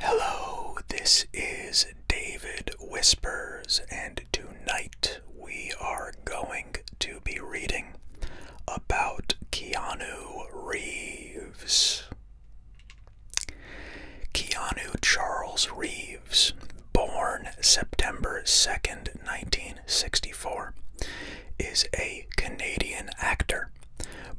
Hello, this is David Whispers, and tonight we are going to be reading about Keanu Reeves. Keanu Charles Reeves, born September 2nd, 1964, is a Canadian actor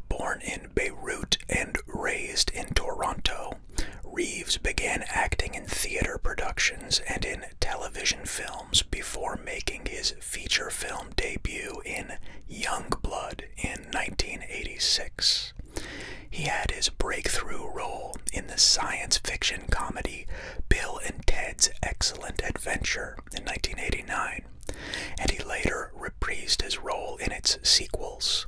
born in Beirut and raised in Toronto, Reeves began acting in theater productions and in television films before making his feature film debut in *Young Blood* in 1986. He had his breakthrough role in the science fiction comedy Bill and Ted's Excellent Adventure in 1989, and he later reprised his role in its sequels.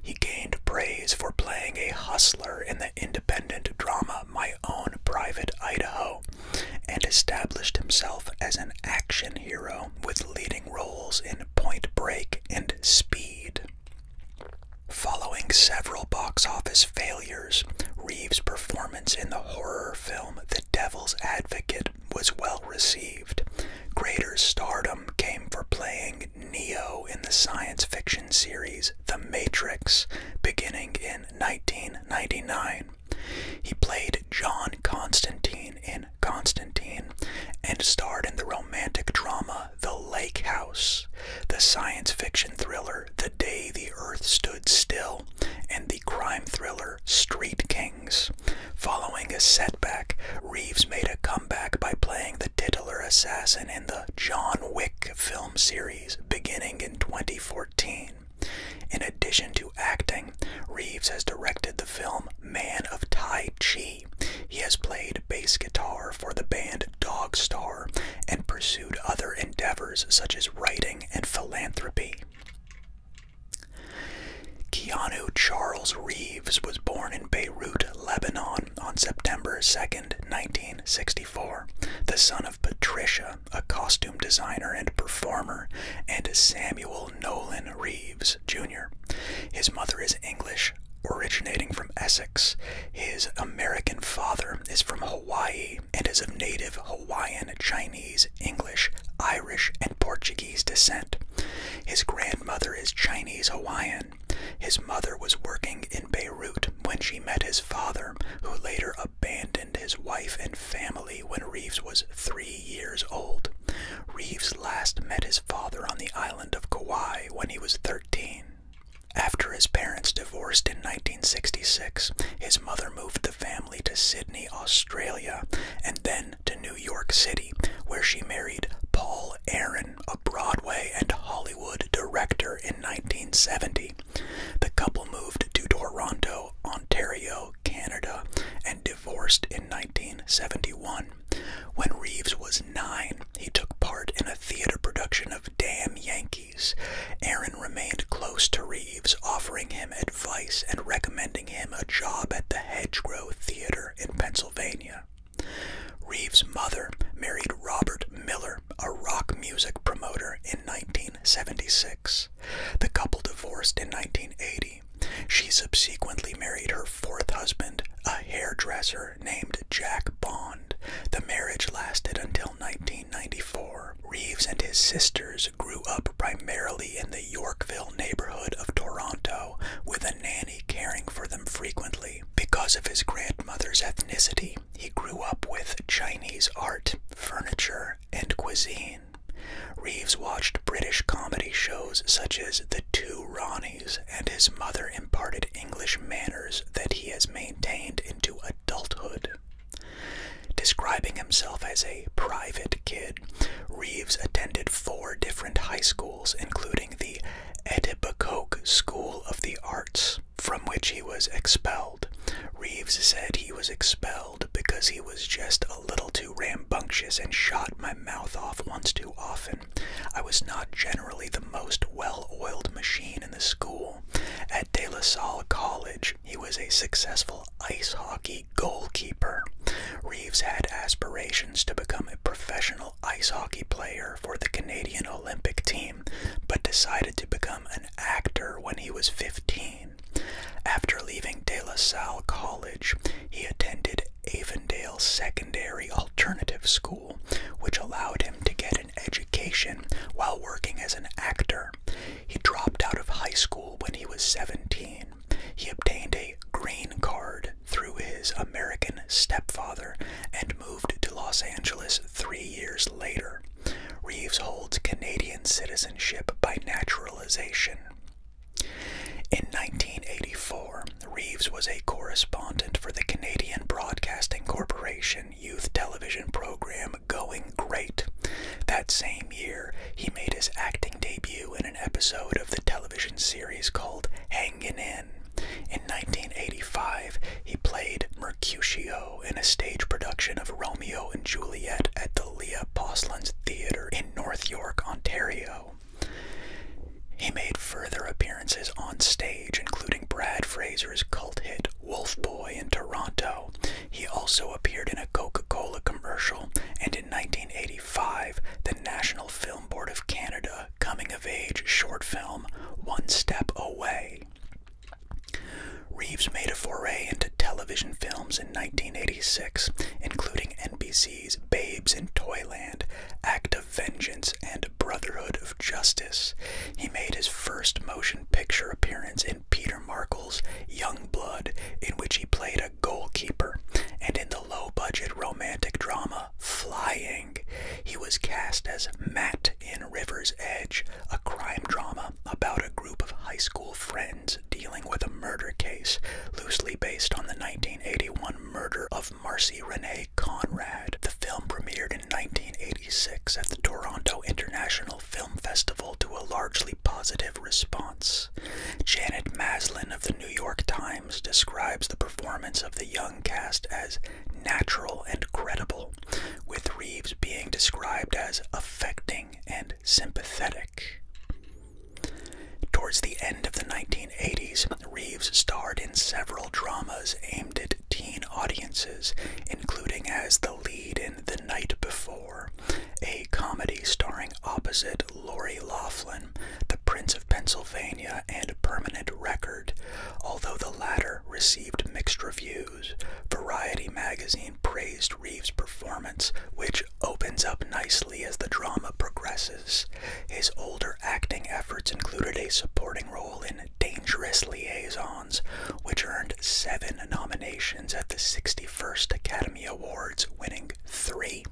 He gained praise for playing a hustler in the independent drama My Own Private Idaho and established himself as an action hero with leading roles in Point Break and Speed. Following several box office failures, Reeves' performance in the horror film The Devil's Advocate was well received. Greater stardom came for playing Neo in the science fiction series The Matrix, beginning in 1999. He played John Constantine in Constantine and starred in the romantic drama The Lake House, the science fiction thriller The Day the Earth Stood Still, and the crime thriller Street King. Following a setback, Reeves made a comeback by playing the titular assassin in the John Wick film series beginning in 2014. In addition to acting, Reeves has directed the film Man of Tai Chi. He has played bass guitar for the band Dog Star and pursued other endeavors such as writing and philanthropy. Keanu Charles Reeves was born in Beirut, Lebanon on September 2, 1964, the son of Patricia, a costume designer and performer, and Samuel Nolan Reeves, Jr. His mother is English, originating from Essex. His American father is from Hawaii and is of native Hawaiian, Chinese, English, Irish, and Portuguese his descent. His grandmother is Chinese Hawaiian. His mother was working in Beirut when she met his father, who later abandoned his wife and family when Reeves was three years old. Reeves last met his father on the island of Kauai when he was 13. After his parents divorced in 1966, his mother moved the family to Sydney, Australia, and then to New York City, where she married Paul Aaron, a Broadway and Hollywood director, in 1970. The couple moved to Toronto, Ontario, Canada, and divorced in 1971. When Reeves was nine, he took part in a theater production of Damn Yankees. Aaron remained close to Reeves, offering him advice and recommending him a job at the Hedgerow Theater in Pennsylvania. Reeves' mother married Robert Miller, a rock music promoter, in 1976. The couple divorced in 1980. She subsequently married her fourth husband, a hairdresser named Jack Bond. The marriage lasted until 1994. Reeves and his sisters grew up primarily in the Yorkville neighborhood of Toronto with a nanny caring for them frequently. Because of his grandmother's ethnicity, he grew up with Chinese art, furniture, and cuisine. Reeves watched British comedy shows such as The Two Ronnies, and his mother imparted English manners that he has maintained into adulthood. Describing himself as a private kid, Reeves attended four different high schools, including the Etobicoke School of the Arts, from which he was expelled. Reeves said he was expelled because he was just a little too rambunctious and shot my mouth off once too often. I was not generally the most well oiled machine in the school. At De La Salle College, he was a successful ice hockey the goalkeeper. Reeves had aspirations to become a professional ice hockey player for the Canadian Olympic team, but decided to become an actor when he was 15. After leaving De La Salle College, he attended Avondale Secondary Alternative School, which allowed him to get an education while working as an actor. He dropped out of high school when he was 17. He obtained a green card through his American stepfather and moved to Los Angeles three years later. Reeves holds Canadian citizenship by naturalization. In 1984, Reeves was a correspondent for the Canadian Broadcasting Corporation youth television program Going Great. That same year, he made his acting debut in an episode of the television series called *Hanging In. In 1985, he played Mercutio in a stage production of Romeo and Juliet at the Leah Poslands Theatre in North York, Ontario. He made further appearances on stage, including Brad Fraser's cult hit Wolf Boy in Toronto. He also appeared in a Coca Cola commercial, and in 1985, the National Film Board of Canada coming of age short film One Step Away. Reeves made a foray into television films in 1986, including NBC's Babes in Toyland, Act of Vengeance, and Brotherhood of Justice. He made his first motion picture appearance in Peter Markle's Young Blood, in which he played goalkeeper, and in the low budget romantic drama Flying, he was cast as Matt in River's Edge, a crime drama about a group of high school friends dealing with a murder case loosely based on the 1981 murder of Marcy Renee Conrad. The film premiered in 1986 at the Toronto International Film Festival to a largely positive response. Janet Maslin of the New York Times describes the performance of the young cast as natural and credible, with Reeves being described as affecting and sympathetic. Towards the end of the 1980s, Reeves starred in several dramas aimed at teen audiences, including as the lead in The Night Before, a comedy starring opposite Laurie Laughlin, the Prince of Pennsylvania and Permanent Record, although the latter received mixed reviews. Variety magazine praised Reeves' performance, which opens up nicely as the drama progresses. His older acting efforts included a supporting role in Dangerous Liaisons, which earned seven nominations at the 61st Academy Awards, winning three.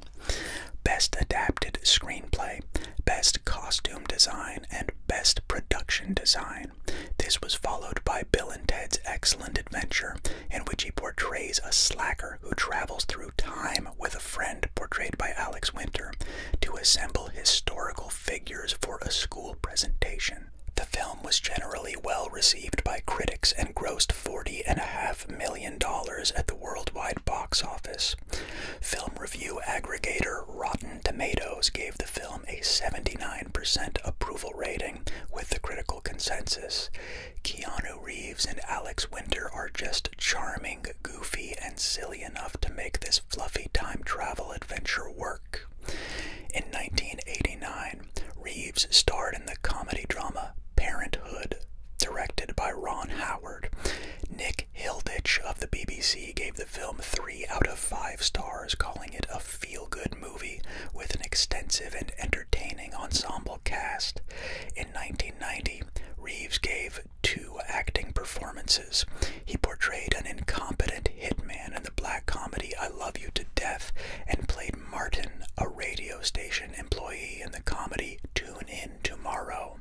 Best Adapted Screenplay, Best Costume Design, and Best Production Design. This was followed by Bill and Ted's Excellent Adventure, in which he portrays a slacker who travels through time with a friend portrayed by Alex Winter to assemble historical figures for a school presentation. The film was generally well received by critics and grossed forty and a half. Million million at the worldwide box office. Film review aggregator Rotten Tomatoes gave the film a 79% approval rating with the critical consensus. Keanu Reeves and Alex Winter are just charming, goofy, and silly enough to make this fluffy time travel adventure work. In 1989, Reeves starred in the comedy drama Parenthood, directed by Ron Howard. Nick Hilditch of the BBC gave the film three out of five stars, calling it a feel good movie with an extensive and entertaining ensemble cast. In 1990, Reeves gave two acting performances. He portrayed an incompetent hitman in the black comedy I Love You to Death and played Martin, a radio station employee in the comedy Tune In. Tomorrow.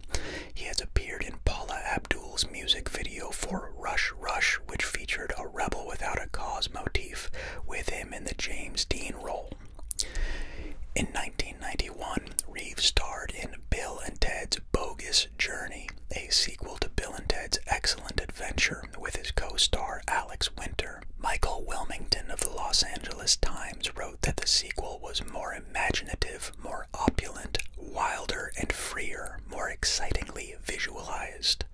He has appeared in Paula Abdul's music video for Rush Rush, which featured a rebel without a cause motif with him in the James Dean role. In 1991, Reeves starred in Bill and Ted's Bogus Journey, a sequel to Bill and Ted's Excellent Adventure, with his co star Alex Winter. Michael Wilmington of the Los Angeles Times wrote that the sequel was more imaginative, more opulent, wilder, and freer, more excitingly visualized.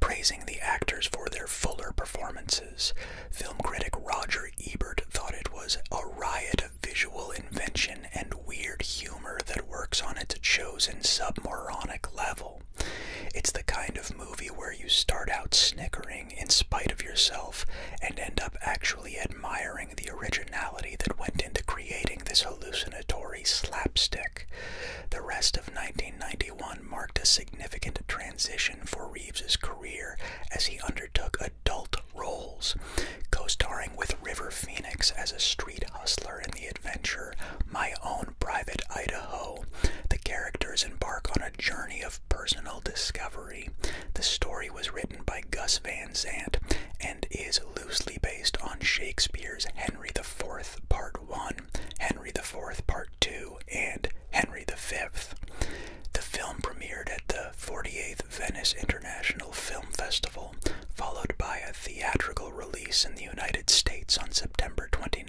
Praising the actors for their fuller performances, film critic Roger Ebert thought it was a riot of visual invention and weird humor that works on its chosen submoronic level. It's the kind of movie where you start out snickering in spite of yourself and end up actually admiring the originality that went into creating this hallucinatory slapstick. The rest of 1991 marked a significant transition for Reeves's career as he undertook adult roles, co-starring with River Phoenix as a street hustler in the adventure My Own Private Idaho. The characters embark on a journey of personal discovery the story was written by Gus Van Zant and is loosely based on Shakespeare's Henry IV Part 1, Henry IV Part 2, and Henry V. The film premiered at the 48th Venice International Film Festival, followed by a theatrical release in the United States on September 29,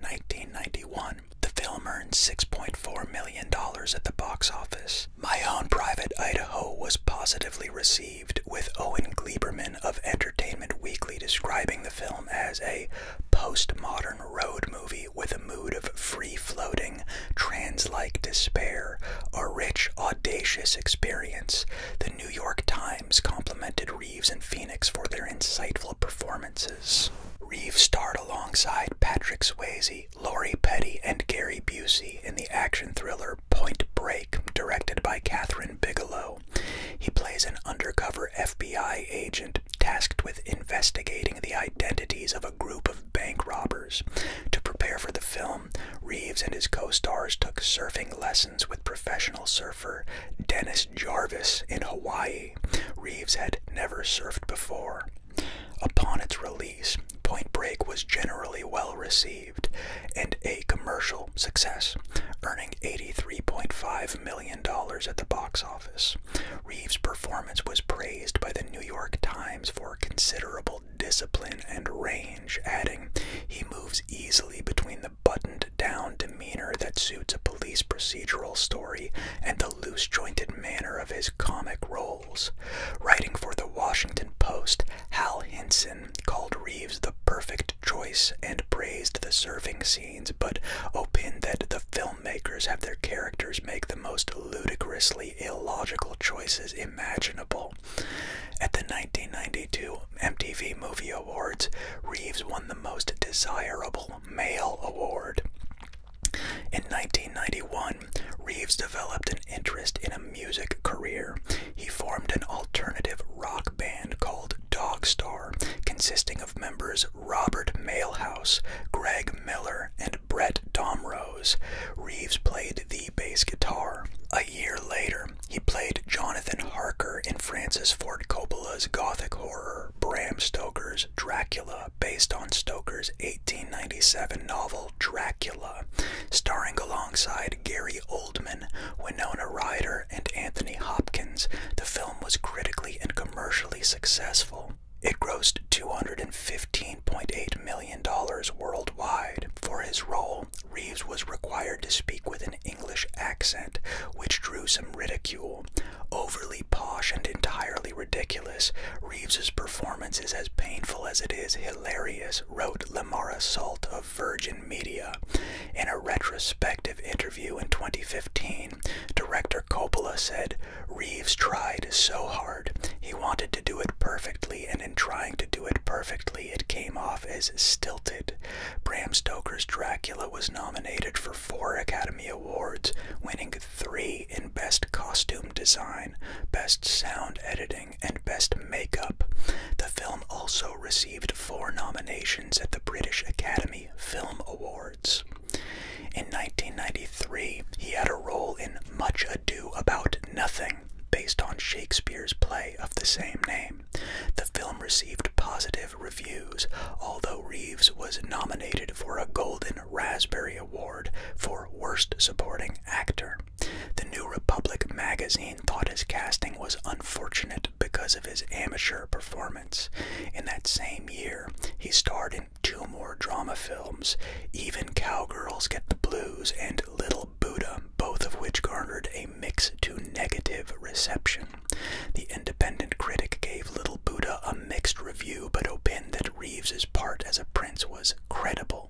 1991. The film earned $6.4 million at the box office my own private Idaho was positively received, with Owen Gleiberman of Entertainment Weekly describing the film as a postmodern road movie with a mood of free floating, trans like despair, a rich, audacious experience. The New York Times complimented Reeves and Phoenix for their insightful performances. Reeves starred alongside Patrick Swayze Berry, Lori Petty, and Gary Busey in the action thriller Point Break, directed by Catherine Bigelow. He plays an undercover FBI agent tasked with investigating the identities of a group of bank robbers. To prepare for the film, Reeves and his co stars took surfing lessons with professional surfer Dennis Jarvis in Hawaii. Reeves had never surfed before. Upon its release, Point Break was generally well received and a commercial success, earning $83.5 million at the box office. Reeves' performance was praised by the New York Times for considerable discipline and range, adding, He moves easily between the buttoned down demeanor that suits a police procedural story and the loose jointed manner of his comic roles. Writing for the Washington Post, Hal Hinson called Reeves the perfect choice and praised the serving scenes, but opined that the filmmakers have their characters make the most ludicrously illogical choices imaginable. At the 1992 MTV Movie Awards, Reeves won the Most Desirable Male Award. In 1991, Reeves developed an interest in a music career. He formed an alternative rock band called Dog Star, consisting of members Robert Mailhouse, Greg Miller, and Brett Domrose. Reeves played the bass guitar. A year later, he played Jonathan Harker in Francis Ford Coppola's gothic horror Bram Stoker's Dracula, based on Stoker's 1897 novel Dracula, starring alongside Gary Oldman, Winona Ryder, and Anthony Hopkins. The film was critically and commercially successful. It grossed $215.8 million worldwide. For his role, Reeves was required to speak with an English accent, which drew some ridicule. Overly posh and entirely ridiculous ridiculous. Reeves's performance is as painful as it is hilarious, wrote Lamara Salt of Virgin Media. In a retrospective interview in 2015, director Coppola said, Reeves tried so hard. He wanted to do it perfectly, and in trying to do it perfectly, it came off as stilted. Bram Stoker's Dracula was nominated for four Academy Awards, winning three in Best Costume Design, Best Sound Editing, and Best Makeup. The film also received four nominations at the British Academy Film Awards. In 1993, he had a role in Much Ado About Nothing, based on Shakespeare's play of the same name. The film received positive reviews, although Reeves was nominated for a Golden Raspberry Award for Worst Supporting Actor. The New Republic magazine thought his casting was unfortunate because of his amateur performance. In that same year, he starred in two more drama films, Even Cowgirls Get the Blues and Little Buddha, both of which garnered a mix to negative reception. The independent critic gave Little Buddha a mixed review but opined that Reeves's part as a prince was credible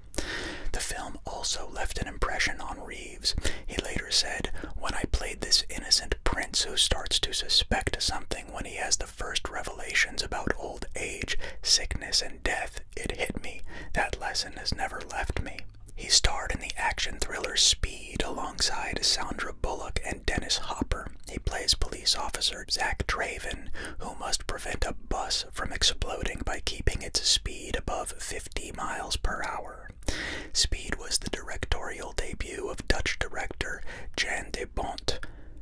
the film also left an impression on Reeves. He later said, When I played this innocent prince who starts to suspect something when he has the first revelations about old age, sickness, and death, it hit me. That lesson has never left me. He starred in the action thriller Speed alongside Sandra Bullock and Dennis Hopper. He plays police officer entered Zach Draven, who must prevent a bus from exploding by keeping its speed above 50 miles per hour. Speed was the directorial debut of Dutch director Jan de Bont.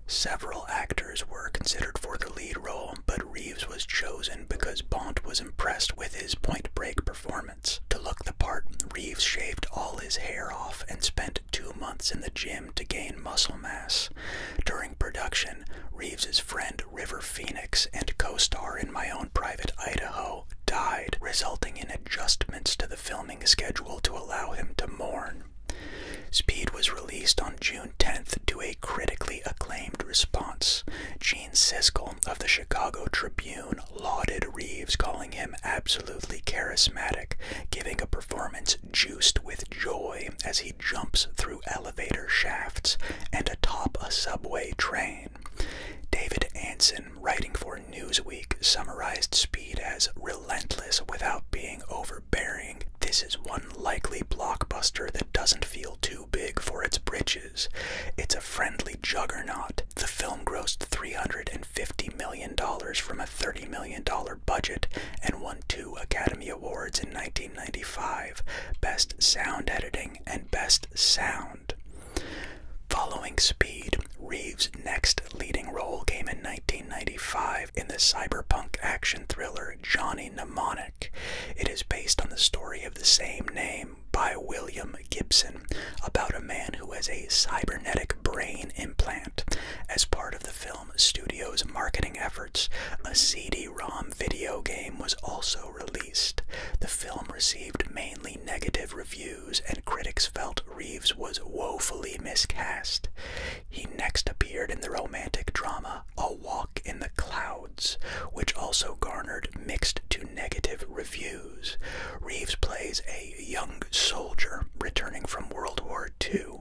Several actors were considered for the lead role, but Reeves was chosen because Bont was impressed with his point break performance. To look the part, Reeves shaved all his hair off and spent two months in the gym to gain muscle mass. During production, Reeves's friend River Phoenix and co-star in My Own Private Idaho died, resulting in adjustments to the filming schedule to allow him to mourn. Speed was released on June 10th to a critically acclaimed response. Gene Siskel of the Chicago Tribune lauded Reeves, calling him absolutely charismatic, giving a performance juiced with joy as he jumps through elevator shafts and atop a subway train. David Anson, writing for Newsweek, summarized Speed as relentless without being overbearing. This is one likely blockbuster that doesn't feel too big for its britches. It's a friendly juggernaut. The film grossed $350 million from a $30 million budget and won two Academy Awards in 19. 1995, Best Sound Editing, and Best Sound. Following Speed, Reeves' next leading role came in 1995 in the cyberpunk action thriller Johnny Mnemonic. It is based on the story of the same name by William Gibson about a man who has a cybernetic brain implant. As part of the film, Studios' marketing efforts, a CD ROM video game was also released. The film received mainly negative reviews, and critics felt Reeves was woefully miscast. He next appeared in the romantic drama A Walk in the Clouds, which also garnered mixed to negative reviews. Reeves plays a young soldier returning from World War II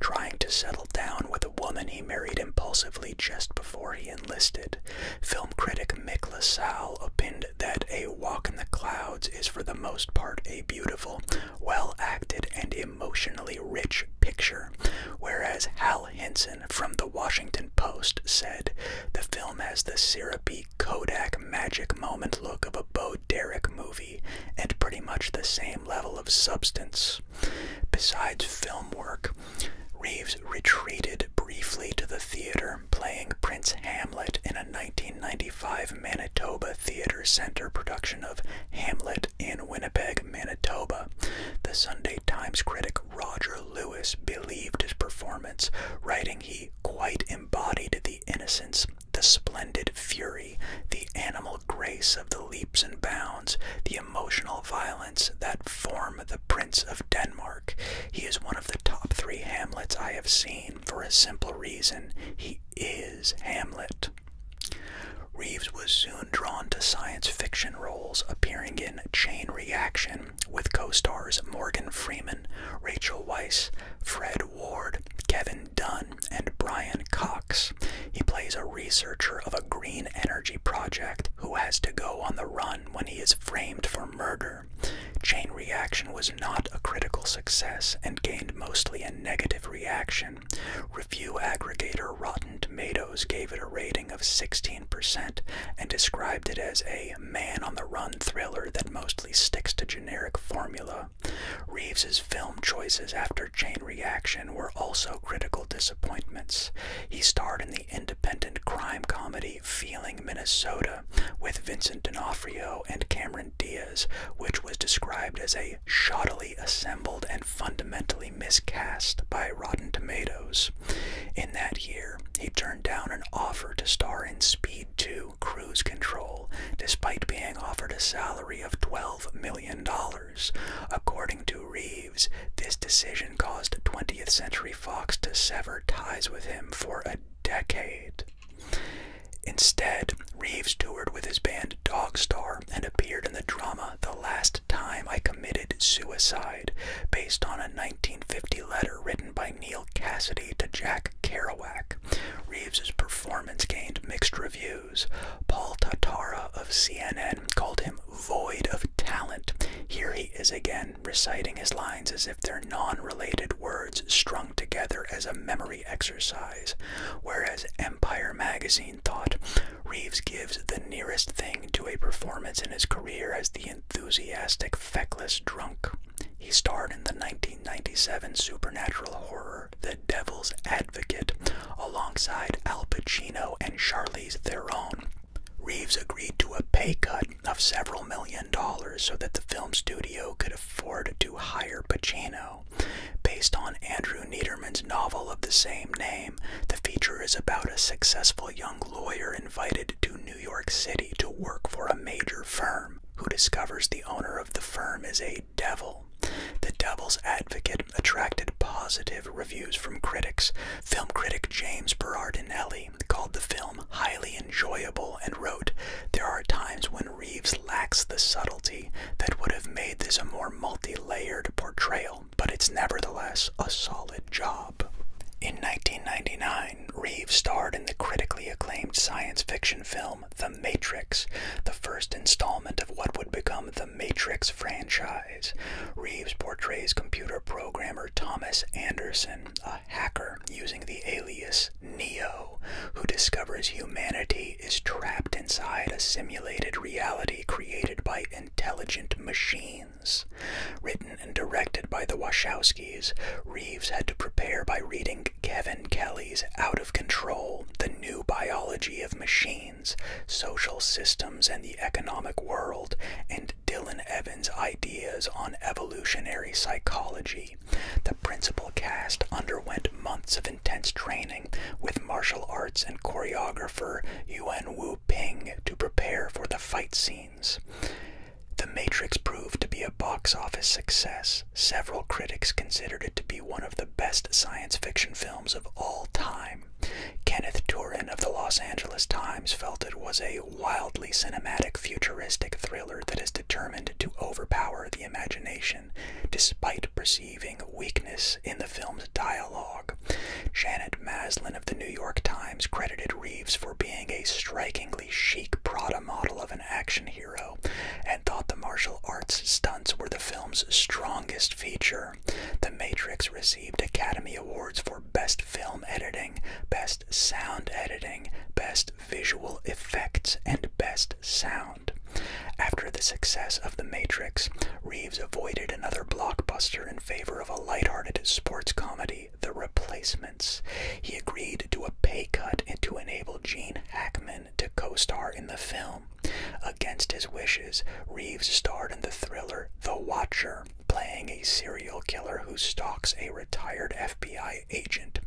trying to settle down with a woman he married impulsively just before he enlisted. Film critic Mick LaSalle opined that A Walk in the Clouds is for the most part a beautiful, well acted, and emotionally rich picture, whereas Hal Henson from The Washington Post said the film has the syrupy Kodak magic moment look of a Bo Derek movie and pretty much the same level of substance. Besides film work, Reeves retreated briefly to the theater, playing Prince Hamlet in a 1995 Manitoba Theater Center production of Hamlet in Winnipeg, Manitoba. The Sunday Times critic Roger Lewis believed his performance, writing he quite embodied the innocence, the splendid fury, the animal grace of the leaps and bounds, emotional violence that form the Prince of Denmark. He is one of the top three Hamlets I have seen for a simple reason he is Hamlet. Reeves was soon drawn to science fiction roles, appearing in Chain Reaction with co stars Morgan Freeman, Rachel Weisz, Fred Ward, Kevin Dunn, and Brian Cox. He plays a researcher of a green energy project who has to go on the run when he is framed for murder. Chain Reaction was not a critical success and gained mostly a negative reaction. Review aggregator Rotten Tomatoes gave it a rating of 16% and described it as a man on the run thriller that mostly sticks to generic formula. Reeves's film choices after Chain Reaction were also critical disappointments. He starred in the independent crime comedy Feeling Minnesota with Vincent D'Onofrio and Cameron Diaz, which was described as a shoddily assembled and fundamentally miscast by Rotten Tomatoes. In that year, he turned down an offer to star in Speed 2 Cruise Control, despite being offered a salary of $12 million. According to Reed, Reeves. This decision caused 20th Century Fox to sever ties with him for a decade. Instead, Reeves toured with his band Dog Star and appeared in the drama The Last Time I Committed Suicide, based on a 1950 letter written by Neil Cassidy to Jack Kerouac. Reeves's performance gained mixed reviews Paul Tatara of CNN called him void of talent. Here he is again, reciting his lines as if they're non related words strung together as a memory exercise. Whereas Empire magazine thought Reeves gives the nearest thing to a performance in his career as the enthusiastic, feckless drunk. He starred in the 1997 supernatural horror The Devil's Advocate, Alongside Al Pacino and Charlize Theron, Reeves agreed to a pay cut of several million dollars so that the film studio could afford to hire Pacino. Based on Andrew Niederman's novel of the same name, the feature is about a successful young lawyer invited to New York City to work for a major firm who discovers the owner of the firm is a devil. The devil's advocate attracted positive reviews from critics. Film critic James Berardinelli called the film highly enjoyable and wrote, There are times when Reeves lacks the subtlety that would have made this a more multi layered portrayal, but it's nevertheless a solid job. In 1999, Reeves starred in the critically acclaimed science fiction film The Matrix, the first installment of what would become the Matrix franchise. Reeves portrays computer programmer Thomas Anderson, a hacker using the alias Neo, who discovers humanity is trapped inside a simulated reality created by intelligent machines. Written and directed by the Wachowskis, Reeves had to prepare by reading Kevin Kelly's Out of Control The New Biology of Machines social systems, and the economic world, and Dylan Evans' ideas on evolutionary psychology. The principal cast underwent months of intense training with martial arts and choreographer Yuan Wu Ping to prepare for the fight scenes. The Matrix proved to be a box office success. Several critics considered it to be one of the best science fiction films of all time. Kenneth Turan of the Los Angeles Times felt it was a wildly cinematic, futuristic thriller that is determined to overpower the imagination, despite perceiving weakness in the film's dialogue. Janet Maslin of the New York Times credited Reeves for being a strikingly chic Prada model of an action hero and thought the martial arts stunts were the film's strongest feature the Matrix received Academy Awards for Best Film Editing, Best Sound Editing, Best Visual Effects, and Best Sound. After the success of The Matrix, Reeves avoided another blockbuster in favor of a lighthearted sports comedy, The Replacements. He agreed to a pay cut to enable Gene Hackman to co star in the film. Against his wishes, Reeves starred in the thriller The Watcher, playing a serial killer who stalks a retired FBI agent.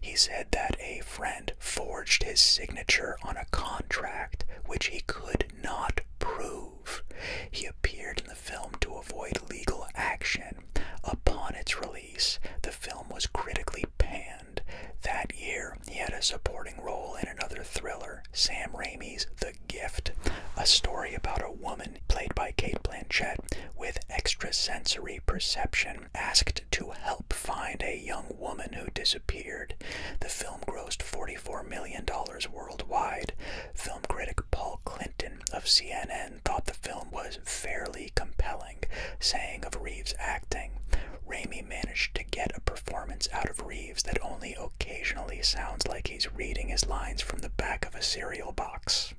He said that a friend forged his signature on a contract which he could not prove. He appeared in the film to avoid legal action. Upon its release, the film was critically panned. That year, he had a supporting role in another thriller, Sam Raimi's The Gift, a story about a woman played by Kate Blanchett with extrasensory perception asked to help find a young woman who disappeared. The film grossed $44 million worldwide. Film critic Paul Clinton of CNN thought the film was fairly compelling, saying of Reeves' acting, Raimi managed to get a performance out of Reeves that only occasionally sounds like he's reading his lines from the back of a cereal box.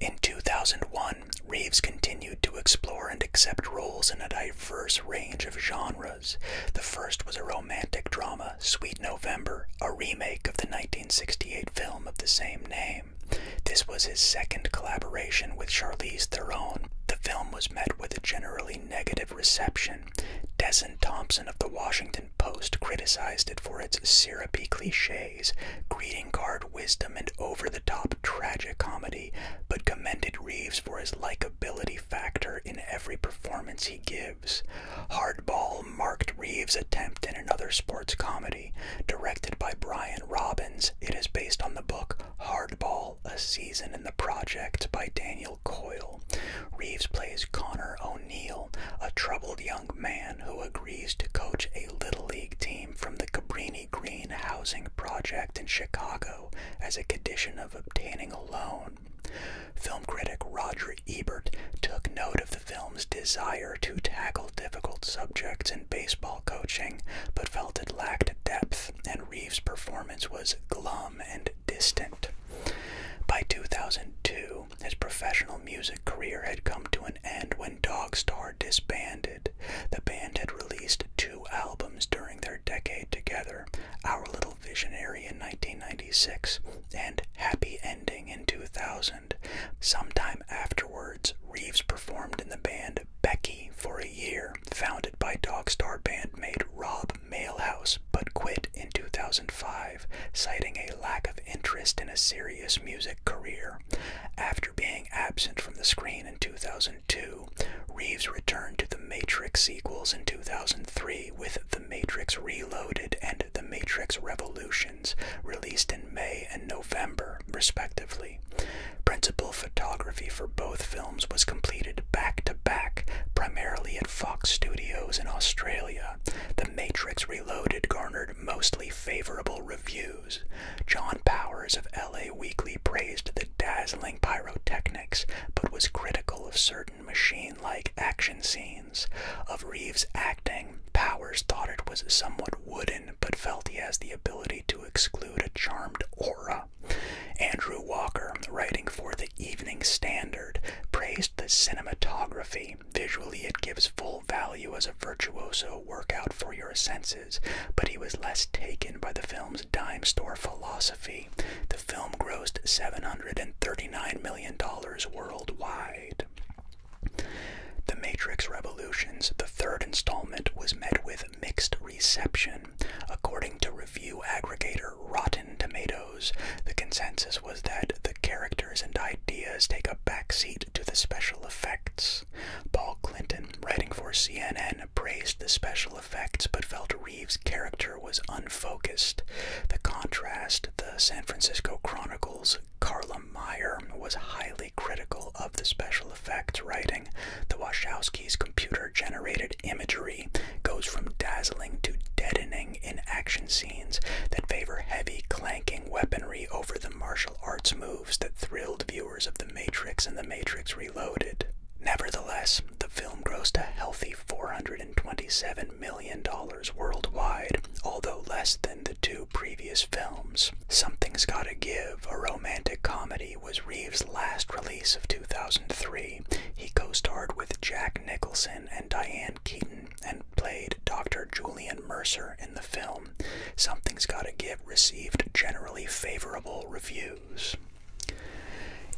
In 2001, Reeves continued to explore and accept roles in a diverse range of genres. The first was a romantic drama, Sweet November, a remake of the 1968 film of the same name. This was his second collaboration with Charlize Theron. The film was met with a generally negative reception Batman. Thompson of the Washington Post criticized it for its syrupy cliches, greeting card wisdom, and over the top tragic comedy, but commended Reeves for his likability factor in every performance he gives. Hardball marked Reeves' attempt in another sports comedy. Directed by Brian Robbins, it is based on the book Hardball A Season in the Project by Daniel. Coyle. Reeves plays Connor O'Neill, a troubled young man who agrees to coach a Little League team from the Cabrini Green Housing Project in Chicago as a condition of obtaining a loan. Film critic Roger Ebert took note of the film's desire to tackle difficult subjects in baseball coaching, but felt it lacked depth, and Reeves' performance was glum and distant. By 2002, his professional music career had come to an end when Dogstar disbanded. The band had released two albums during their decade together Our Little Visionary in 1996 and Happy Ending in 2000. Sometime afterwards, Reeves performed in the band Becky for a year, founded by Dogstar bandmate Rob Mail but quit in 2005, citing a lack of interest in a serious music career. After being absent from the screen in 2002, Reeves returned to the Matrix sequels in 2003 with The Matrix Reloaded and The Matrix Revolutions, released in May and November, respectively. Principal photography for both films was completed back to back, primarily at Fox Studios in Australia, The Matrix Reloaded garnered mostly favorable reviews. John Powers of LA Weekly praised the dazzling pyrotechnics, but was critical of certain machine like action scenes. Of Reeves' acting, Powers thought it was somewhat wooden, but felt he has the ability to exclude a charmed aura. Andrew Walker, writing for the the Evening Standard, praised the cinematography. Visually, it gives full value as a virtuoso workout for your senses, but he was less taken by the film's dime store philosophy. The film grossed $739 million worldwide. The Matrix Revolutions, the third installment, was met with mixed reception. According to review aggregator Rotten Tomatoes, the consensus was that the characters and ideas take a backseat to the special effects. Paul Clinton, writing for CNN, praised the special effects but felt Reeves' character was unfocused. The contrast, the San Francisco Chronicle's Carla Meyer was highly critical of the special effects writing. The Wachowskis' computer generated imagery goes from dazzling to deadening in action scenes that favor heavy, clanking weaponry over the martial arts moves that thrilled viewers of The Matrix and The Matrix Reloaded. Nevertheless, the film grossed a healthy $427 million worldwide, although less than the two previous films. Something's Gotta Give, a romantic comedy, was Reeves' last release of 2003. He co starred with Jack Nicholson and Diane Keaton and played Dr. Julian Mercer in the film Something's Gotta Give received generally favorable reviews.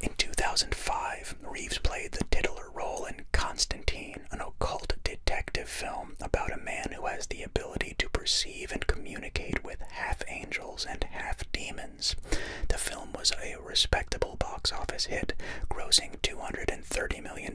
In 2005, Reeves played the titular role in Constantine, an occult detective film about a man who has the ability to perceive and communicate with half angels and half demons. The film was a a respectable box office hit, grossing $230 million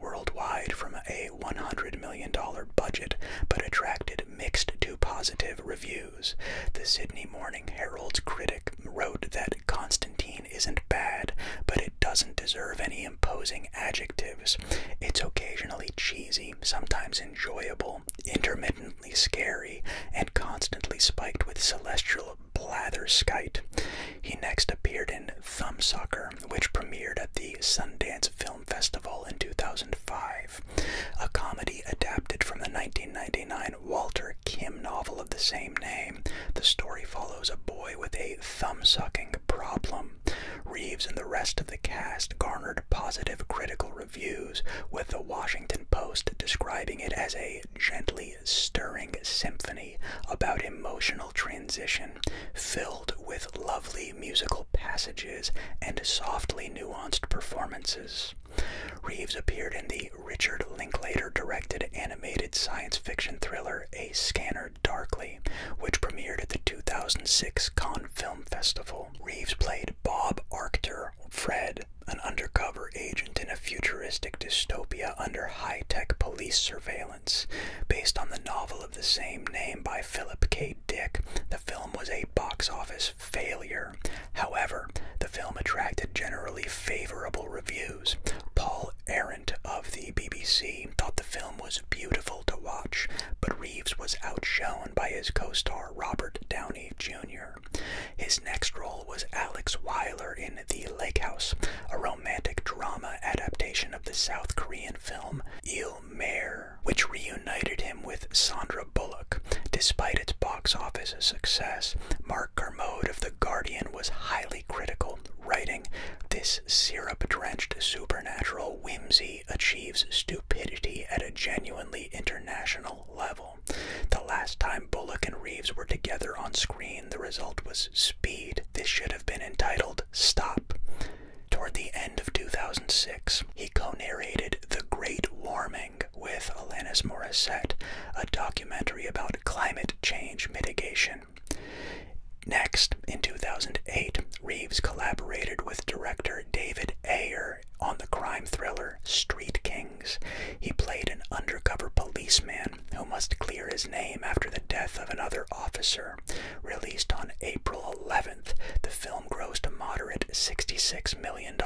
worldwide from a $100 million budget, but attracted mixed to positive reviews. The Sydney Morning Herald's critic wrote that Constantine isn't bad, but it doesn't deserve any imposing adjectives. It's occasionally cheesy, sometimes enjoyable, intermittently scary, and constantly spiked with celestial Blatherskite. He next appeared in Thumbsucker, which premiered at the Sundance Film Festival in 2005, a comedy adapted from the 1999 Walter Kim novel of the same name. The story follows a boy with a thumb-sucking problem. Reeves and the rest of the cast garnered positive critical reviews, with the Washington Post describing it as a gently stirring symphony about emotional transition filled with lovely musical passages and softly nuanced performances. Reeves appeared in the Richard Linklater directed animated science fiction thriller A Scanner Darkly, which premiered at the 2006 Con Film Festival. Reeves played Bob Arctor, Fred, an undercover agent in a futuristic dystopia under high tech police surveillance. Based on the novel of the same name by Philip K. Dick, the film was a box office failure. However, the film attracted generally favorable reviews. Paul Arendt of the BBC thought the film was beautiful to watch, but Reeves was outshone by his co star Robert Downey Jr. His next role was Alex Weiler in The Lake House, a romantic drama adaptation of the South Korean film Il Mare, which reunited him with Sandra Bullock. Despite its box office success, Mark Kermode of The Guardian was highly critical, writing, This syrup drenched supernatural whimsy achieves stupidity at a genuinely international level. The last time Bullock and Reeves were together on screen, the result was Speed. This should have been entitled Stop. Toward the end of 2006, he co narrated The Great Warming with Alanis Morissette, a documentary about climate change mitigation. Next, in 2008, Reeves collaborated with director David Ayer on the crime thriller Street Kings. He played an undercover policeman who must clear his name after the death of another officer. Released on April 11th, the film grossed a moderate $66 million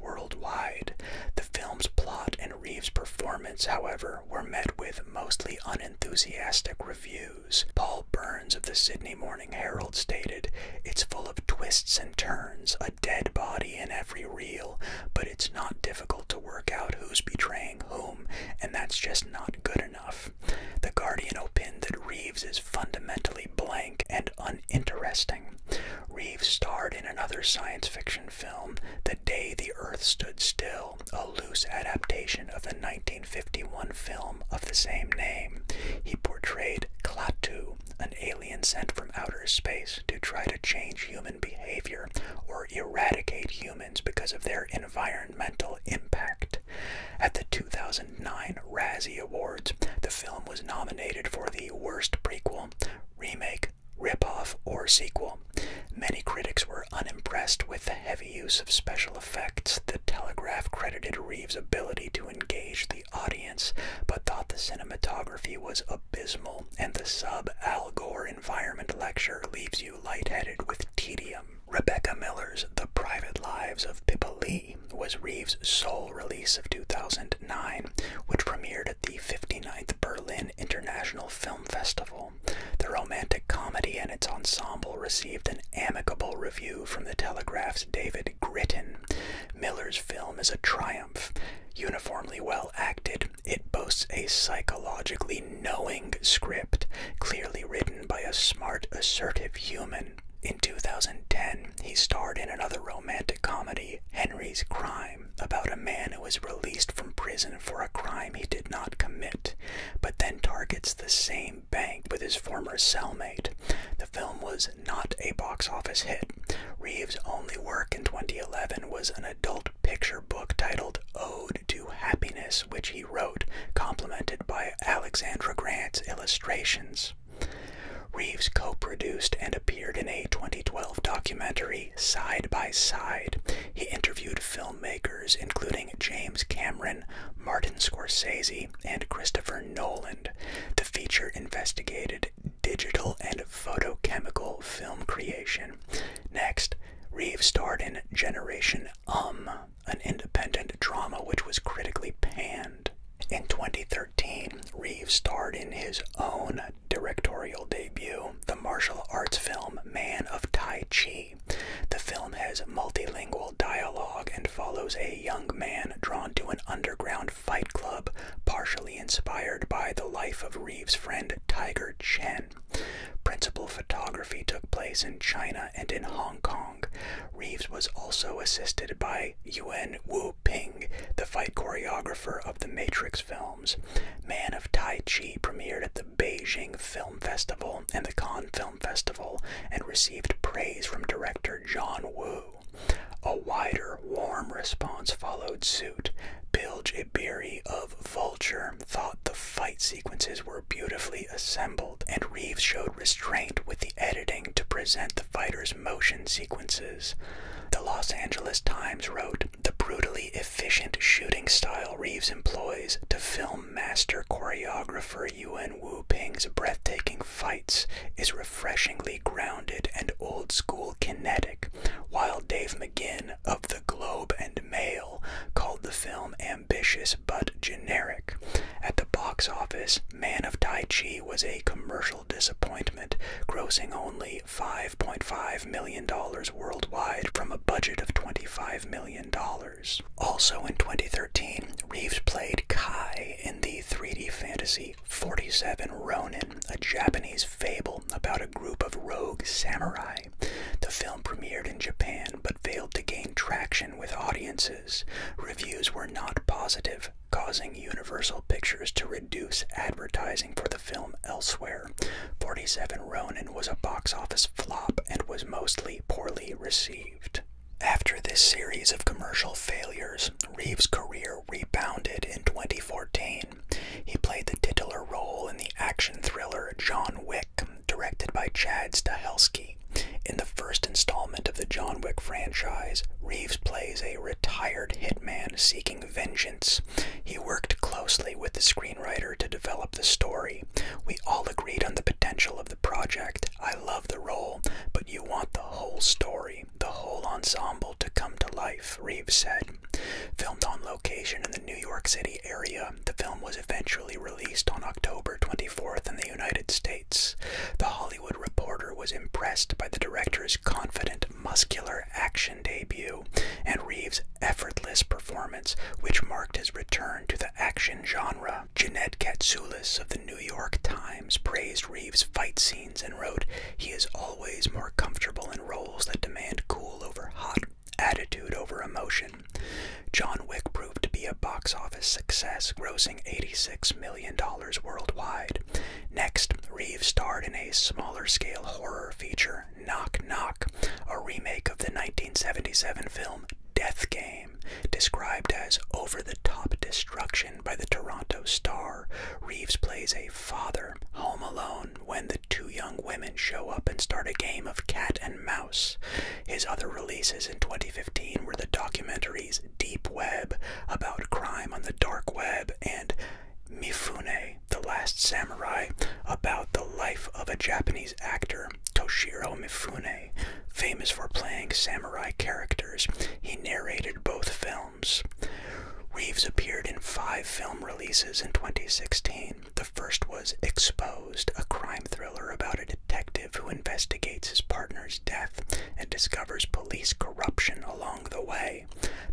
worldwide. The film's plot and Reeves' performance, however, were met with mostly unenthusiastic reviews. Paul Burns of the Sydney Morning Herald stated, It's full of twists and turns, a dead body in every reel, but it's not difficult to work out who's betraying whom, and that's just not good enough. The Guardian opined that Reeves is fundamentally blank and uninteresting. Reeves starred in another science fiction film, The Day the Earth Stood Still, a loose adaptation of the 1951 film of the same name. He portrayed Klaatu, an alien sent from outer space to try to change human behavior eradicate humans because of their environmental impact. At the 2009 Razzie Awards, the film was nominated for the Worst Prequel, Remake, Ripoff, or Sequel. Many critics were unimpressed with the heavy use of special effects. The Telegraph credited Reeves' ability to engage the audience, but thought the cinematography was abysmal and the sub Al environment lecture leaves you lightheaded with tedium. Rebecca Miller's The Private Lives of Pippa Lee was Reeves' sole release of 2009, which premiered at the 59th Berlin International Film Festival. The romantic comedy and its ensemble received an amicable review from The Telegraph's David Gritton. Miller's film is a triumph, uniformly well acted, it boasts a psychologically knowing script, clearly written by a smart, assertive human. In 2010, he starred in another romantic comedy, Henry's Crime, about a man who is released from prison for a crime he did not commit, but then targets the same bank with his former cellmate. The film was not a box office hit. Reeves' only work in 2011 was an adult picture book titled Ode to Happiness, which he wrote, complemented by Alexandra Grant's illustrations. Reeves co produced and appeared in a 2012 documentary, Side by Side. He interviewed filmmakers including James Cameron, Martin Scorsese, and Christopher Nolan. The feature investigated digital and photochemical film creation. Next, Reeve starred in Generation Um, an independent drama which was critically panned. In 2013, Reeves starred in his own directorial debut, the martial arts film Man of Tai Chi. The film has multilingual dialogue and follows a young man drawn to an underground fight club, partially inspired by the life of Reeves' friend Tiger Chen. Principal photography took place in China and in Hong Kong. Reeves was also assisted by Yuan Wu Ping, the fight choreographer of the Matrix films. Man of Tai Chi premiered at the Beijing Film Festival and the Cannes Film Festival and received praise from director John Woo. A wider, warm response followed soon. Bill Bilge Ibiri of Vulture thought the fight sequences were beautifully assembled, and Reeves showed restraint with the editing to present the fighters' motion sequences. The Los Angeles Times wrote, The brutally efficient shooting style Reeves employs to film master choreographer Yuan Wu Ping's breathtaking fights is refreshingly grounded and old school kinetic, while Dave McGinn of the Globe and Mail called the film ambitious but generic. At the box office, Man of Tai Chi was a commercial disappointment, grossing only $5.5 million worldwide from a budget of $25 million. Also in 2013, Reeves played Kai in the 3D fantasy 47 Ronin, a Japanese fable about a group of rogue samurai. The film premiered in Japan but failed to gain traction with audiences. Reviews were not positive, causing Universal Pictures to reduce advertising for the film elsewhere. 47 Ronin was a box office flop and was mostly poorly received. After this series of commercial failures, Reeves' career rebounded in 2014 he played the titular role in the action thriller John Wick, directed by Chad Stahelski. In the first installment of the John Wick franchise, Reeves plays a retired hitman seeking vengeance. He worked closely with the screenwriter to develop the story. We all agreed on the potential of the project. I love the role, but you want the whole story, the whole ensemble to come to life, Reeves said. Filmed on location in the New York City area, the film was eventually released on October 24th in the United States. The Hollywood Reporter was impressed by the director's confident, muscular action debut and Reeves' effortless performance, which marked his return to the action genre. Jeanette Katsoulis of the New York Times praised Reeves' fight scenes and wrote, He is always more comfortable in roles that demand cool over hot Attitude over emotion. John Wick proved to be a box office success, grossing $86 million worldwide. Next, Reeves starred in a smaller scale horror feature, Knock Knock, a remake of the 1977 film Death Game, described as over the top destruction by the Toronto Star. Reeves plays a father, home alone when the two young women show up and start a game of cat and mouse. His other releases in 2015 were the documentaries Deep Web, about crime on the dark web, and Mifune, The Last Samurai, about the life of a Japanese actor, Toshiro Mifune, famous for playing samurai characters. He narrated both films. Reeves appeared in five film releases in 2016. The first was Exposed, a crime thriller about a detective who investigates his partner's death and discovers police corruption along the way.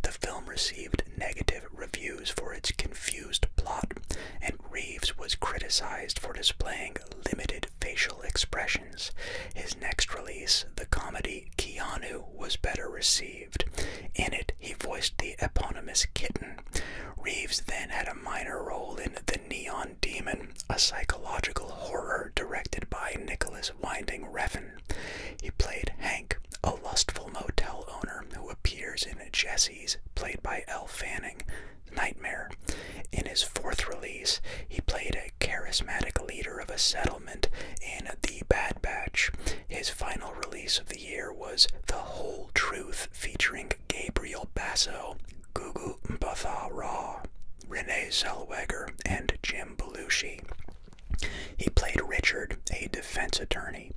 The film received negative reviews for its confused plot, and Reeves was criticized for displaying limited facial expressions. His next release, the comedy Keanu, was better received. In it, he voiced the eponymous kitten Reeves then had a minor role in The Neon Demon, a psychological horror directed by Nicholas Winding Refn. He played Hank, a lustful motel owner who appears in Jesse's, played by Elle Fanning, Nightmare. In his fourth release, he played a charismatic leader of a settlement in The Bad Batch. His final release of the the year was The Whole Truth featuring Gabriel Basso, Gugu Mbatha Raw, Renee Zellweger, and Jim Belushi. He played Richard, a defense attorney.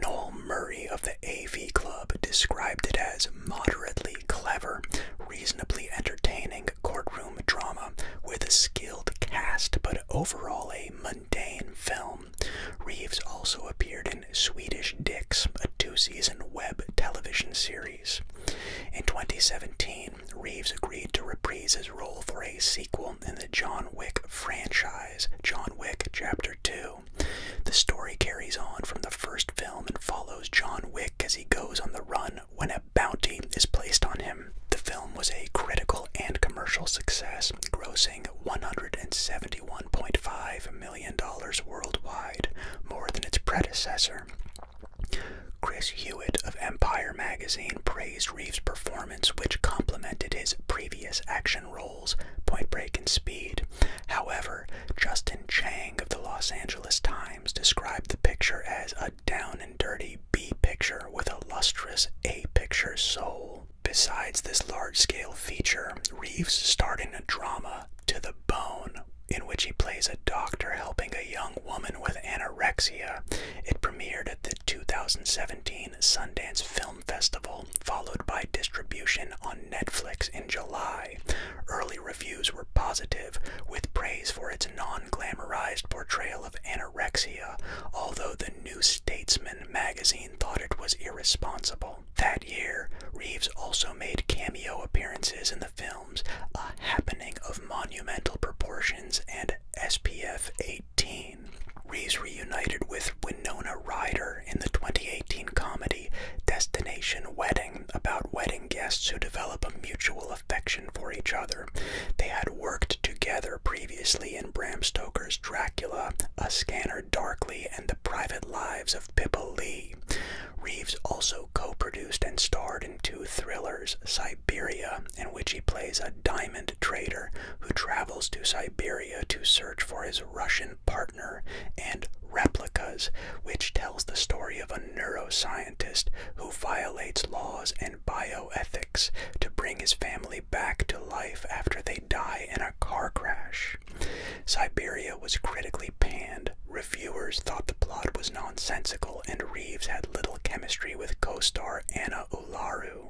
Noel Murray of the AV Club described it as moderately clever, reasonably entertaining courtroom drama with a skilled cast, but overall a in film. Reeves also appeared in Swedish Dicks, a two-season web television series. In 2017, Reeves agreed to reprise his role for a sequel in the John Wick franchise, John Wick Chapter 2. The story carries on from the first film and follows John Wick as he goes on the run when a bounty is placed on him. The film was a critical and commercial success, grossing $171.5 million worldwide, more than its predecessor. Chris Hewitt of Empire magazine praised Reeves' performance, which complemented his previous action roles, Point Break and Speed. However, Justin Chang of the Los Angeles Times described the picture as a down and dirty B picture with a lustrous A picture soul. Besides this large scale feature, Reeves starred in a drama, To the Bone, in which he plays a doctor helping a young woman with anorexia. It premiered at the 2017 Sundance Film Festival, followed by distribution on Netflix in July. Early reviews were positive, with praise for its non glamorized portrayal of anorexia, although the New Statesman magazine thought it was irresponsible. That year, Reeves also made cameo appearances in the films A Happening of Monumental Proportions and SPF 18. Reeves reunited with Winona Ryder in the 2018 comedy Destination Wedding about wedding guests who develop a mutual affection for each other. They had worked together previously in Bram Stoker's Dracula, A Scanner Darkly and The Private Lives of Pippa Lee. Reeves also co produced and starred in two thrillers, Siberia, in which he plays a diamond trader who travels to Siberia to search for his Russian partner, and Replicas, which tells the story of a neuroscientist who violates laws and bioethics to bring his family back to life after they die in a car crash. Siberia was critically panned. Reviewers thought the plot was nonsensical, and Reeves had little chemistry with co star Anna Ularu.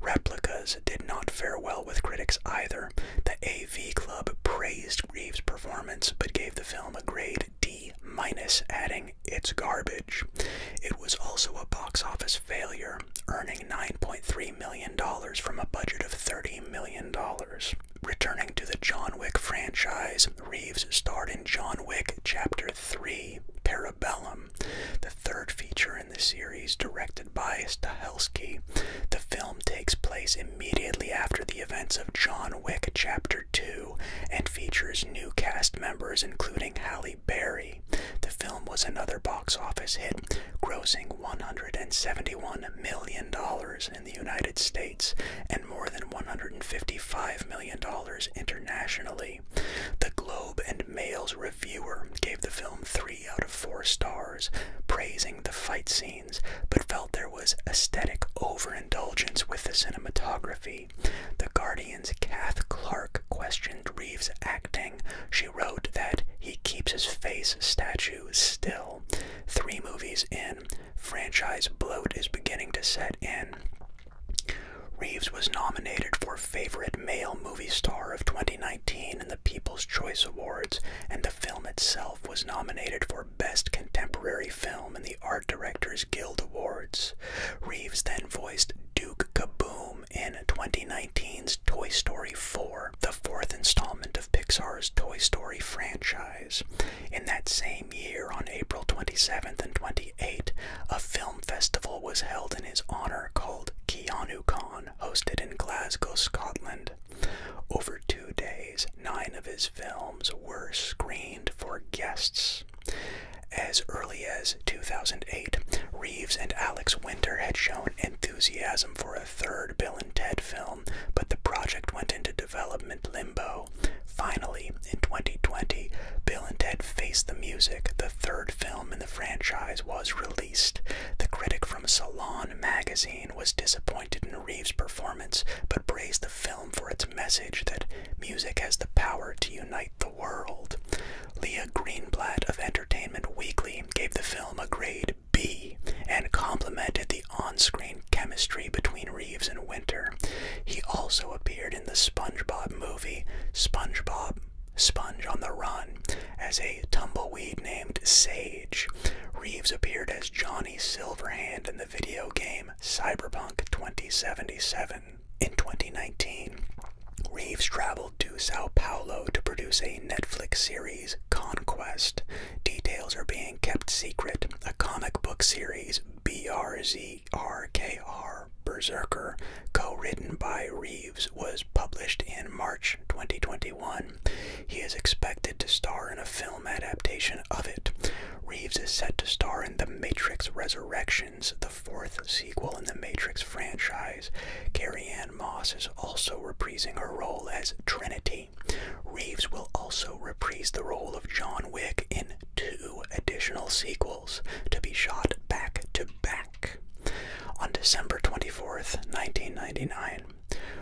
Replicas did not fare well with critics either. The AV Club praised Reeves' performance but gave the film a grade D, minus, adding, It's garbage. It was also a box office failure, earning 9 Million million from a budget of $30 million. Returning to the John Wick franchise, Reeves starred in John Wick Chapter 3 Parabellum, the third feature in the series, directed by Stahelski. The film takes place immediately after the events of John Wick Chapter 2 and features new cast members including Halle Berry. The film was another box office hit, grossing $171 million in the United States and more than $155 million internationally. The Globe and Mail's reviewer gave the film three out of four stars, praising the fight scenes, but felt there was aesthetic overindulgence with the cinematography. The Guardian's Kath Clark questioned Reeves' acting. She wrote that he keeps his face statue still. Three movies in, franchise bloat is beginning to set in. Reeves was nominated for Favorite Male Movie Star of 2019 in the People's Choice Awards, and the film itself was nominated for Best Contemporary Film in the Art Directors Guild Awards. Reeves then voiced Duke Kaboom in 2019's Toy Story 4, the fourth installment of Pixar's Toy Story franchise. In that same year, on April 27th and 28th, a film festival was held in his honor called KeanuCon, hosted in Glasgow, Scotland. Over two days, nine of his films were screened for guests. As early as 2008, Reeves and Alex Winter had shown enthusiasm for for a third Bill and Ted film, but the project went into development limbo. Finally, in 2020, Bill and Ted Face the Music, the third film in the franchise, was released. The critic from Salon magazine was disappointed in Reeves' performance, but praised the film for its message that music has the power to unite the world. Leah Greenblatt of Entertainment Weekly gave the film a grade B and complemented the on screen chemistry between Reeves and Winter. He also appeared in the SpongeBob movie SpongeBob Sponge on the Run as a tumbleweed named Sage. Reeves appeared as Johnny Silverhand in the video game Cyberpunk 2077. In 2019, Reeves traveled to Sao Paulo to produce a Netflix series Conquest. Details are being kept secret. A comic book series, BRZRKR, Berserker, co written by Reeves, was published in March 2021. He is expected to star in a film adaptation of it. Reeves is set to star in The Matrix Resurrections, the fourth sequel in the Matrix franchise. Carrie Moss is also reprising her role as Trinity. Reeves will also reprise the role of John Wick in two additional sequels to be shot back to back. On December 24th, 1999,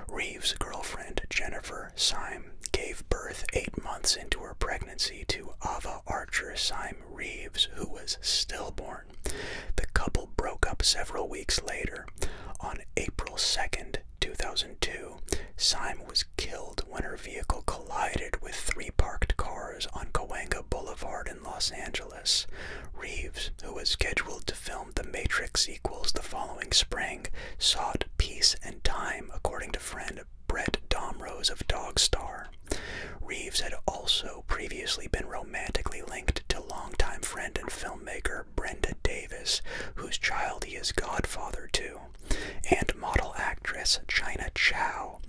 Reeves' girlfriend Jennifer Syme gave birth eight months into her pregnancy to Ava Archer Syme Reeves, who was stillborn. The couple broke up several weeks later. On April 2, 2002, Syme was killed when her vehicle collided with three parked cars on Cahuenga Boulevard in Los Angeles. Reeves, who was scheduled to film The Matrix sequels the following spring, sought peace and time, according to friend Brett Domrose of Dog Star. Reeves had also previously been romantically linked to longtime friend and filmmaker Brenda Davis, whose child he is godfather to, and model actress China Chow.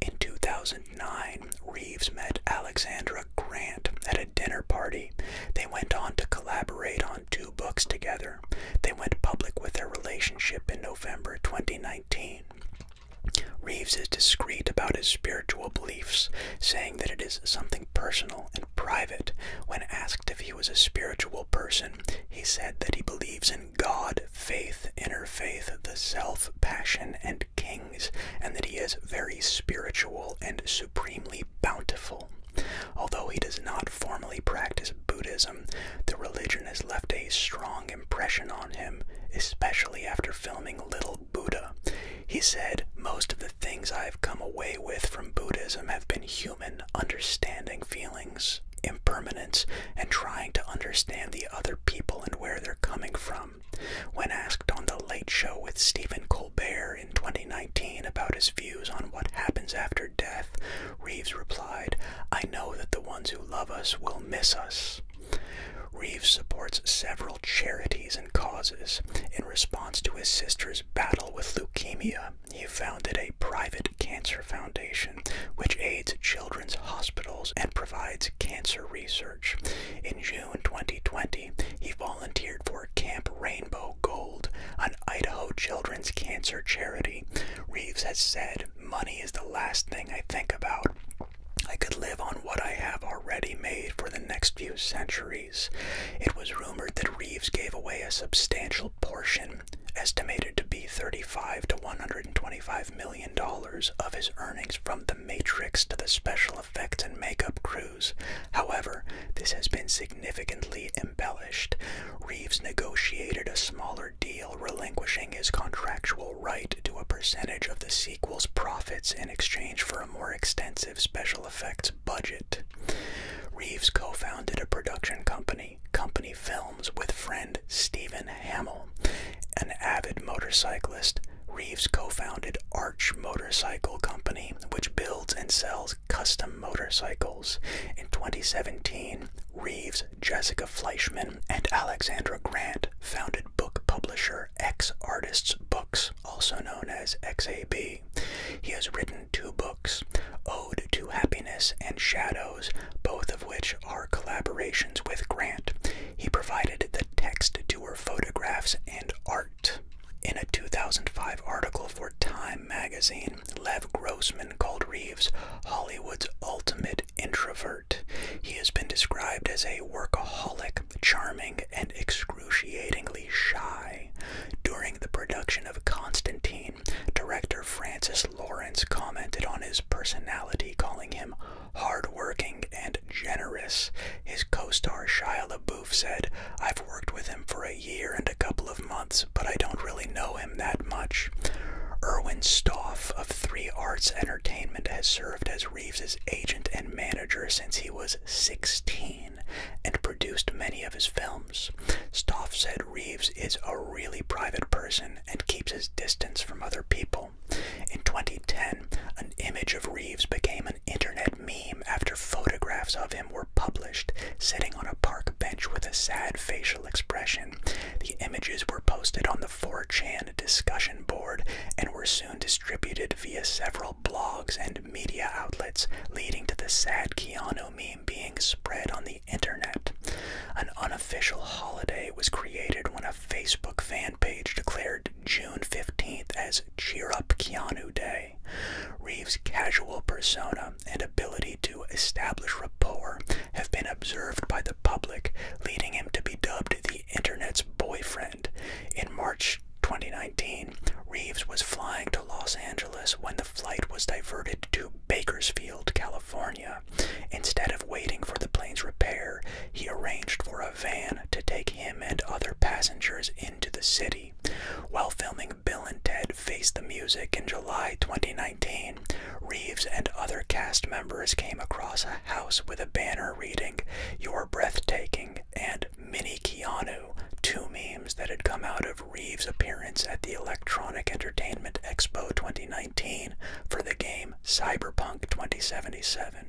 In 2009, Reeves met Alexandra Grant at a dinner party. They went on to collaborate on two books together. They went public with their relationship in November 2019. Reeves is discreet about his spiritual beliefs, saying that it is something personal and private. When asked if he was a spiritual person, he said that he believes in God, faith, inner faith, the self, passion, and kings, and that he is very spiritual and supremely bountiful. Although he does not formally practice Buddhism, the religion has left a strong impression on him, especially after filming Little Buddha. He said, Most of the things I have come away with from Buddhism have been human, understanding feelings, impermanence, and trying to understand the other people and where they're coming from. When asked on The Late Show with Stephen Colbert in 2019 about his views on what happens after death, Reeves replied, I know that the ones who love us will miss us. Reeves supports several charities and causes. In response to his sister's battle with leukemia, he founded a private cancer foundation which aids children's hospitals and provides cancer research. In June 2020, he volunteered for Camp Rainbow Gold, an Idaho children's cancer charity. Reeves has said, Money is the last thing I think about. I could live on what I have already made for the next few centuries. It was rumored that Reeves gave away a substantial portion, estimated to be 35 to 125 million dollars of his earnings from The Matrix to the special effects and makeup crews. However, this has been significantly embellished. Reeves negotiated a smaller deal relinquishing his contractual right to a percentage of the sequel's profits in exchange for a more extensive special effects Reeves co founded a production company, Company Films, with friend Stephen Hamill. An avid motorcyclist, Reeves co founded Arch Motorcycle Company, which builds and sells custom motorcycles. In 2017, Reeves, Jessica Fleischman, and Alexandra Grant founded book publisher X Artists Books, also known as XAB. He has written two books, Ode to Happiness and Shadows, both of which are collaborations with Grant. He provided the text to her photographs and art. In a 2005 article for Time magazine, Lev Grossman called Reeves Hollywood's ultimate introvert. He has been described as a workaholic, charming, and extraordinary excruciatingly shy. During the production of Constantine, director Francis Lawrence commented on his personality, calling him hardworking and generous. His co-star Shia LaBeouf said, I've worked with him for a year and a couple of months, but I don't really know him that much. Erwin Stoff of Three Arts Entertainment has served as Reeves's agent and manager since he was 16 and produced many of his films. Stoff said Reeves is a really private person and keeps his distance from other people. In 2010, an image of Reeves became an internet meme after photographs of him were published, sitting on a park bench with a sad facial expression. The images were posted on the 4chan discussion board and were soon distributed via several blogs and media outlets, leading to the sad Keanu meme being spread on the internet. An unofficial holiday was created when a Facebook fan page declared June 15th as Cheer Up Keanu Day. Reeves' casual persona and ability to establish rapport have been observed by the public, leading him to be dubbed the internet's boyfriend. In March 2019, 1919, Reeves was flying to Los Angeles when the flight was diverted to Bakersfield, California. Instead of waiting for the plane's repair, he arranged for a van to take him and other passengers into the city. While filming Bill and Ted Face the Music in July 2019, Reeves and other cast members came across a house with a banner reading, You're breathtaking, and Mini Keanu, two memes that had come out of Reeves' appearance at the Electronic Entertainment Expo 2019 for the game Cyberpunk 2077.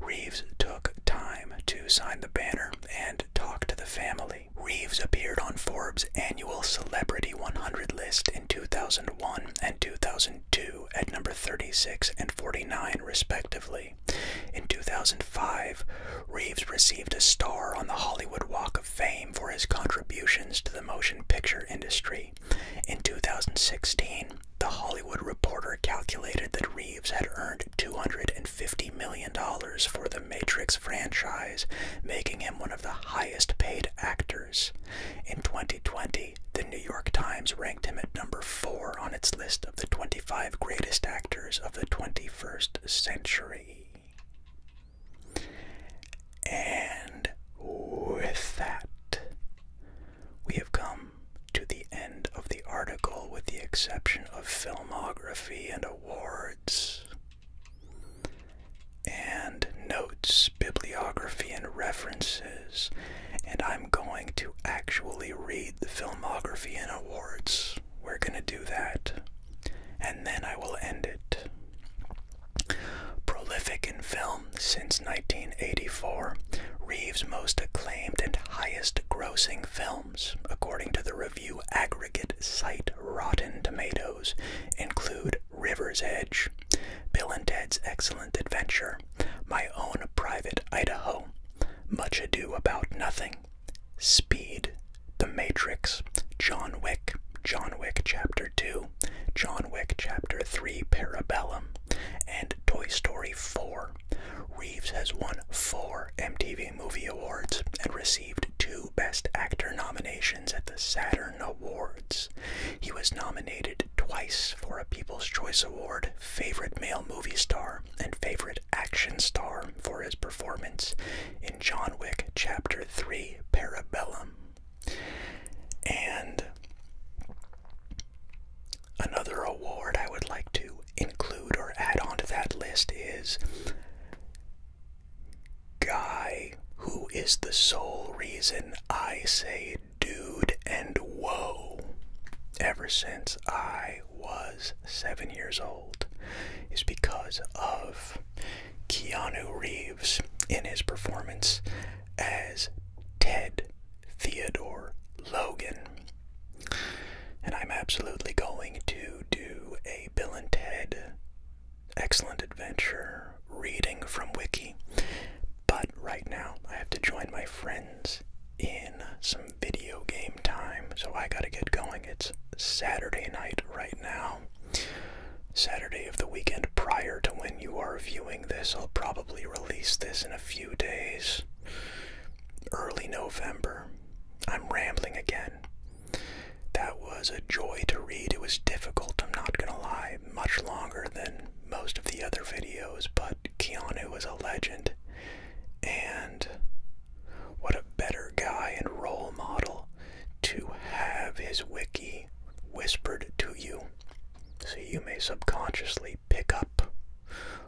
Reeves took time to sign the banner and talk to the family. Reeves appeared on Forbes' annual Celebrity 100 list in 2001 and 2002 at number 36 and 49, respectively. In 2005, Reeves received a star on the Hollywood Walk of Fame for his contributions to the motion picture industry. In 2016, The Hollywood Reporter calculated that Reeves had earned $250 million for the Matrix franchise, making him one of the highest paid actors. In 2020, the New York Times ranked him at number four on its list of the 25 greatest actors of the 21st century. And with that, we have come to the end of the article, with the exception of filmography and awards. And notes, bibliography, and references. And I'm going to actually read the filmography and awards we're gonna do that. And then I will end it. Prolific in film since 1984, Reeves' most acclaimed and highest grossing films, according to the review aggregate site Rotten Tomatoes, include River's Edge, Bill and Ted's Excellent Adventure, My Own Private Idaho, Much Ado About Nothing, Speed, The Matrix, John Wick, John Wick Chapter 2, John Wick Chapter 3, Parabellum, and Toy Story 4. Reeves has won four MTV Movie Awards and received two Best Actor nominations at the Saturn Awards. He was nominated twice for a People's Choice Award Favorite Male Movie Star and favorite action star for his performance in John Wick Chapter 3 Parabellum. And another award I would like to include or add onto that list is Guy, who is the sole reason I say dude and whoa ever since I was seven years old is because of Keanu Reeves in his performance as Ted Theodore Logan. And I'm absolutely going to do a Bill and Ted Excellent Adventure reading from Wiki. But right now, I have to join my friends in some video game time, so I gotta get going. It's Saturday night right now. Saturday of the weekend prior to when you are viewing this. I'll probably release this in a few days. Early November. I'm rambling again. That was a joy to read. It was difficult, I'm not gonna lie, much longer than most of the other videos, but Keanu was a legend. And what a better guy and role model to have his wiki whispered to you so you may subconsciously pick up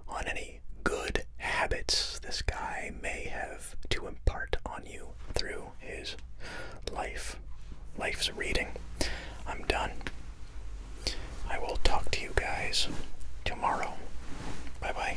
on any good habits this guy may have to impart on you through his life life's reading i'm done i will talk to you guys tomorrow bye bye